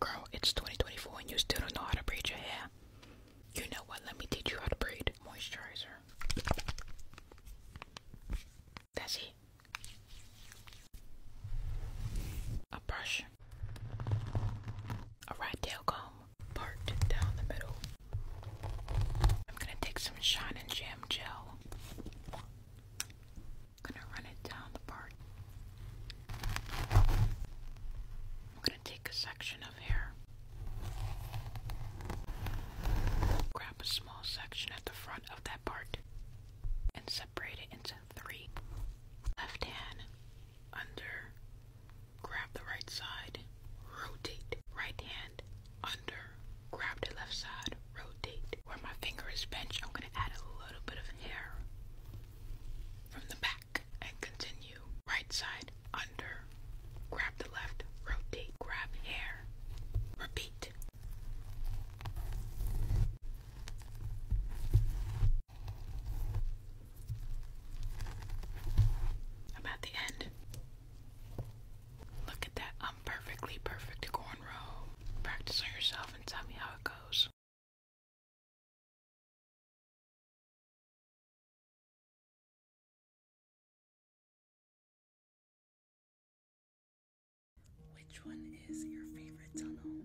Girl, it's 2024 and you still don't know how to braid your hair. You know what? Let me teach you how to braid moisturizer. That's it. A brush. A right tail comb part down the middle. I'm gonna take some shine and jam gel. Gonna run it down the part. I'm going to take a section of hair, grab a small section at the front of that part, and separate it into three. Left hand under, grab the right side, rotate. Right hand under, grab the left side, rotate. Where my finger is bent, I'm going to add a little bit of hair from the back and continue right side under grab the left rotate grab hair repeat about the end look at that i perfect cornrow practice on yourself and tell me how it goes which one is your favorite tunnel?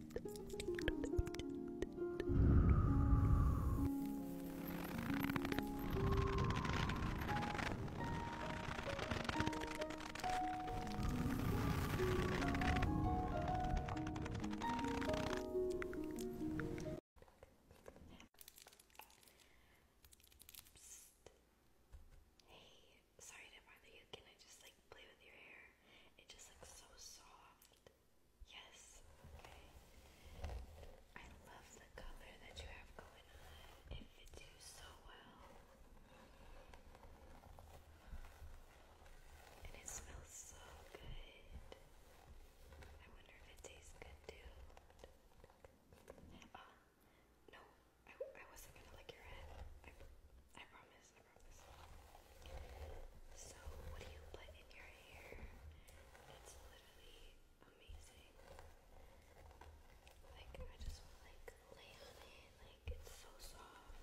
Hey, sorry to bother you. Can I just like play with your hair? It just looks so soft. Yes, okay. I love the color that you have going on. It fits you so well. And it smells so good. I wonder if it tastes good too. Oh, no, I, I wasn't gonna lick your head. I, promise, so, what do you put in your hair? It's literally amazing. Like, I just like lay on it. Like, it's so soft.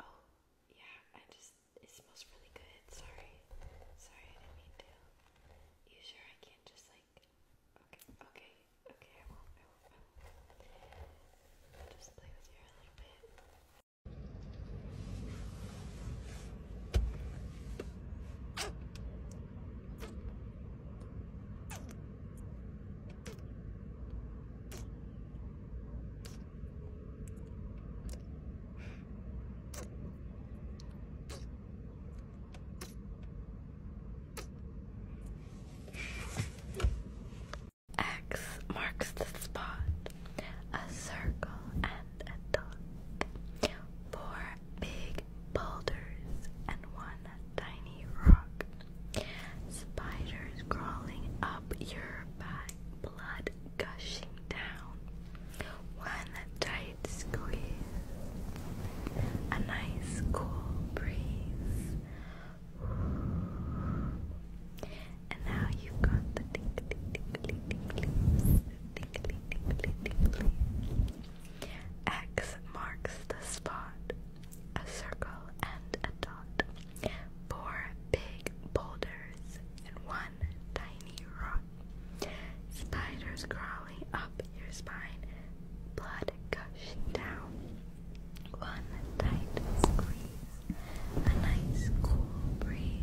Oh, yeah, I just, it smells really good. Sorry. Sorry, I didn't mean to. You sure I can't just like like, okay, okay, okay, I will I will I will Just play with your a little bit. X marks the spot, a circle and a dot, four big boulders and one tiny rock, spiders crawling up your back, blood gushing down, one tight squeeze, a nice cool breeze. And now you've got the X marks the spot, a circle and a dot, four big boulders and one tiny rock. Spiders crawl up your spine, blood gushing down. One tight squeeze, a nice cool breeze.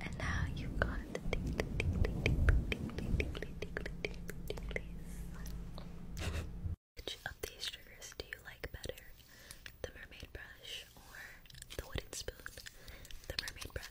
And now you've got Which of these triggers do you like better? The mermaid brush or the wooden spoon? The mermaid brush.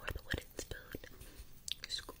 Or the wooden spoon. Scoop,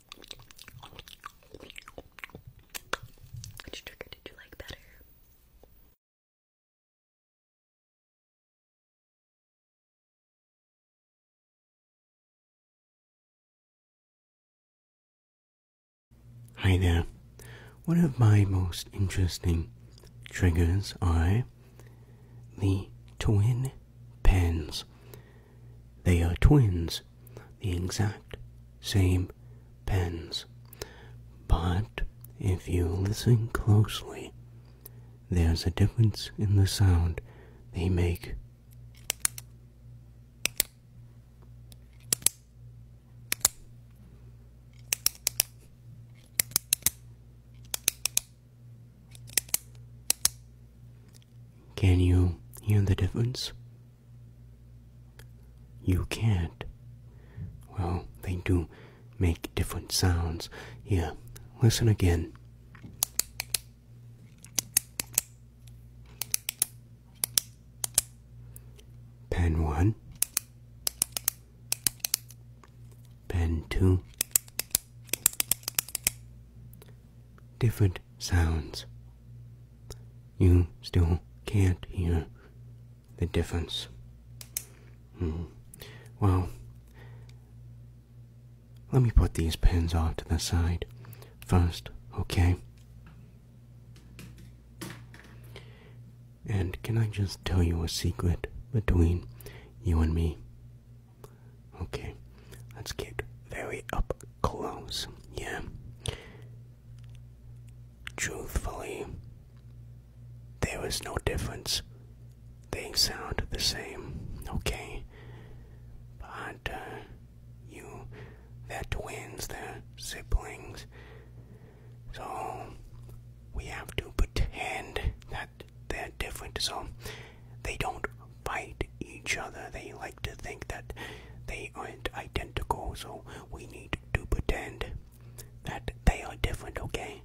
Which trigger did you like better? Hi there. One of my most interesting triggers are the twin pens. They are twins, the exact same pens. But if you listen closely, there's a difference in the sound they make. Can you hear the difference? You can't. Well, they do make different sounds. Yeah, listen again. Pen 1, Pen 2, different sounds. You still can't hear the difference. Mm. Well, let me put these pens off to the side first, okay? And can I just tell you a secret between you and me? Okay, let's get very up close. Yeah. Truthfully, there is no difference. They sound the same. Okay. But uh, you, they twins, they siblings. So we have to pretend that they're different. So they don't fight each other. They like to think that they aren't identical, so we need to pretend that they are different, okay?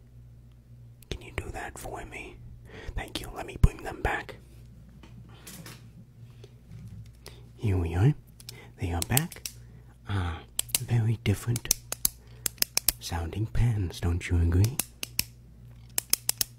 Can you do that for me? Thank you. Let me bring them back. Here we are. They are back. Ah, very different sounding pens, don't you agree?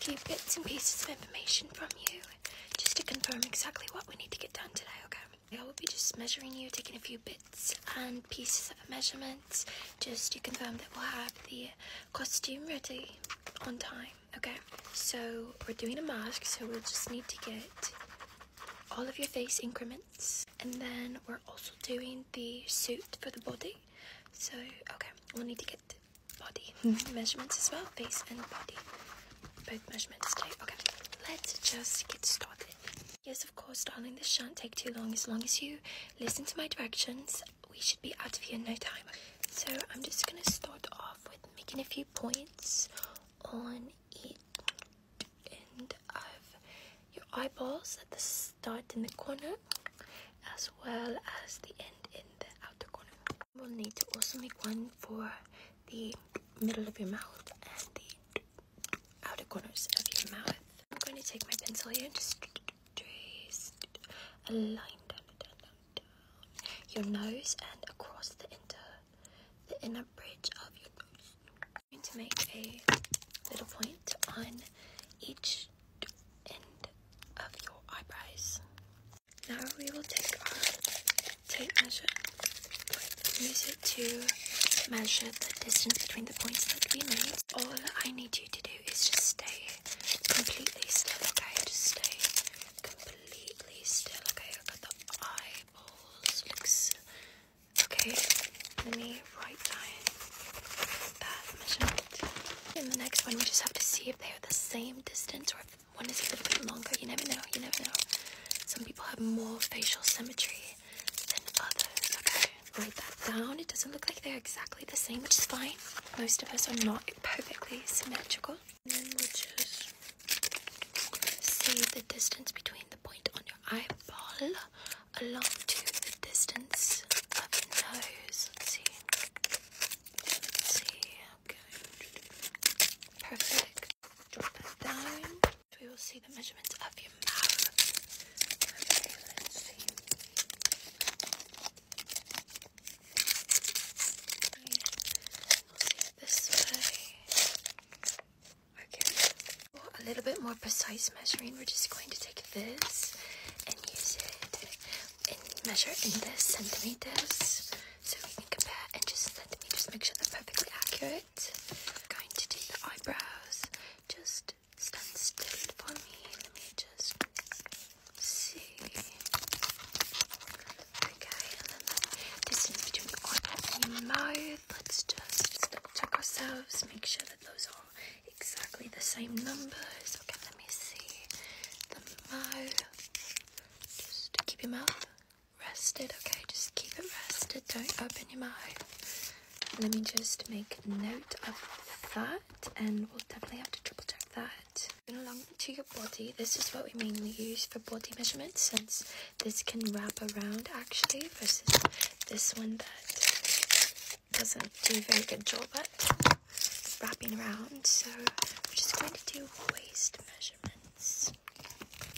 Keep bits and pieces of information from you just to confirm exactly what we need to get done today, okay? I will be just measuring you, taking a few bits and pieces of measurements just to confirm that we'll have the costume ready on time, okay? So we're doing a mask, so we'll just need to get all of your face increments and then we're also doing the suit for the body so okay we'll need to get body measurements as well, face and body, both measurements too. Okay, let's just get started. Yes, of course, darling, this shan't take too long. As long as you listen to my directions, we should be out of here in no time. So I'm just gonna start off with making a few points on each end of your eyeballs at the start in the corner as well as the end in the outer corner we'll need to also make one for the middle of your mouth and the outer corners of your mouth i'm going to take my pencil here and just trace a line down down down down your nose and across the inner the inner bridge of your nose i'm going to make a little point on each of your eyebrows. Now we will take our tape measure. Use it to measure the distance between the points that we made. All I need you to do is just stay completely still, okay? Just stay completely still, okay? Look at the eyeballs. okay. Let me write down that measurement. In the next one, we just have to see they are the same distance or if one is a little bit longer. You never know, you never know. Some people have more facial symmetry than others. Okay, write that down. It doesn't look like they're exactly the same, which is fine. Most of us are not perfectly symmetrical. And then we'll just see the distance between the point on your eyeball along to the distance of your nose. Let's see. Perfect. Drop that down. We will see the measurements of your mouth. Okay, let's see. this way. Okay. For a little bit more precise measuring, we're just going to take this and use it measure in the centimeters so we can compare and just make sure they're perfectly accurate. I'm going to do the eyebrows. Just stand still for me. Let me just see. Okay, and then the distance between the forehead mouth. Let's just check ourselves, make sure that those are exactly the same numbers. Okay, let me see. The mouth. Just keep your mouth rested, okay? Just keep it rested. Don't open your mouth. Let me just make note of that, and we'll definitely have to triple check that. Moving along to your body, this is what we mainly use for body measurements since this can wrap around actually versus this one that doesn't do very good job at wrapping around. So we're just going to do waist measurements.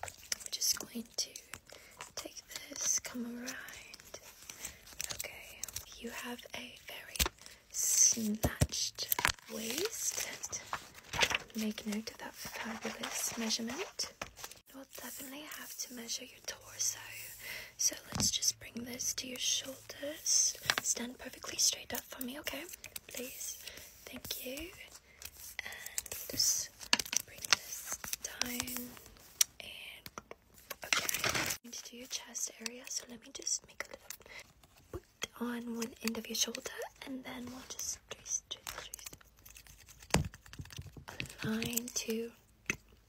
We're just going to take this, come around. Okay, you have a very snatched waist. Make note of that fabulous measurement. You'll definitely have to measure your torso. So let's just bring this to your shoulder shoulders stand perfectly straight up for me, okay? Please. Thank you. And just bring this down. And okay. I'm going to do your chest area, so let me just make a little put on one end of your shoulder, and then we'll just trace, trace, trace a line to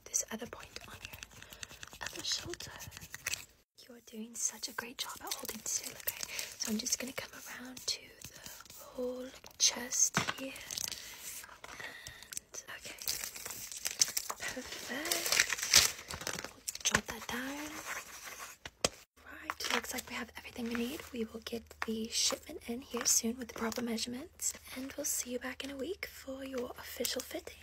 this other point on your other shoulder. You're doing such a great job at holding still, okay? So I'm just gonna come around to the whole chest here. And okay. Perfect. We'll jot that down. Right, looks like we have everything we need. We will get the shipment in here soon with the proper measurements. And we'll see you back in a week for your official fitting.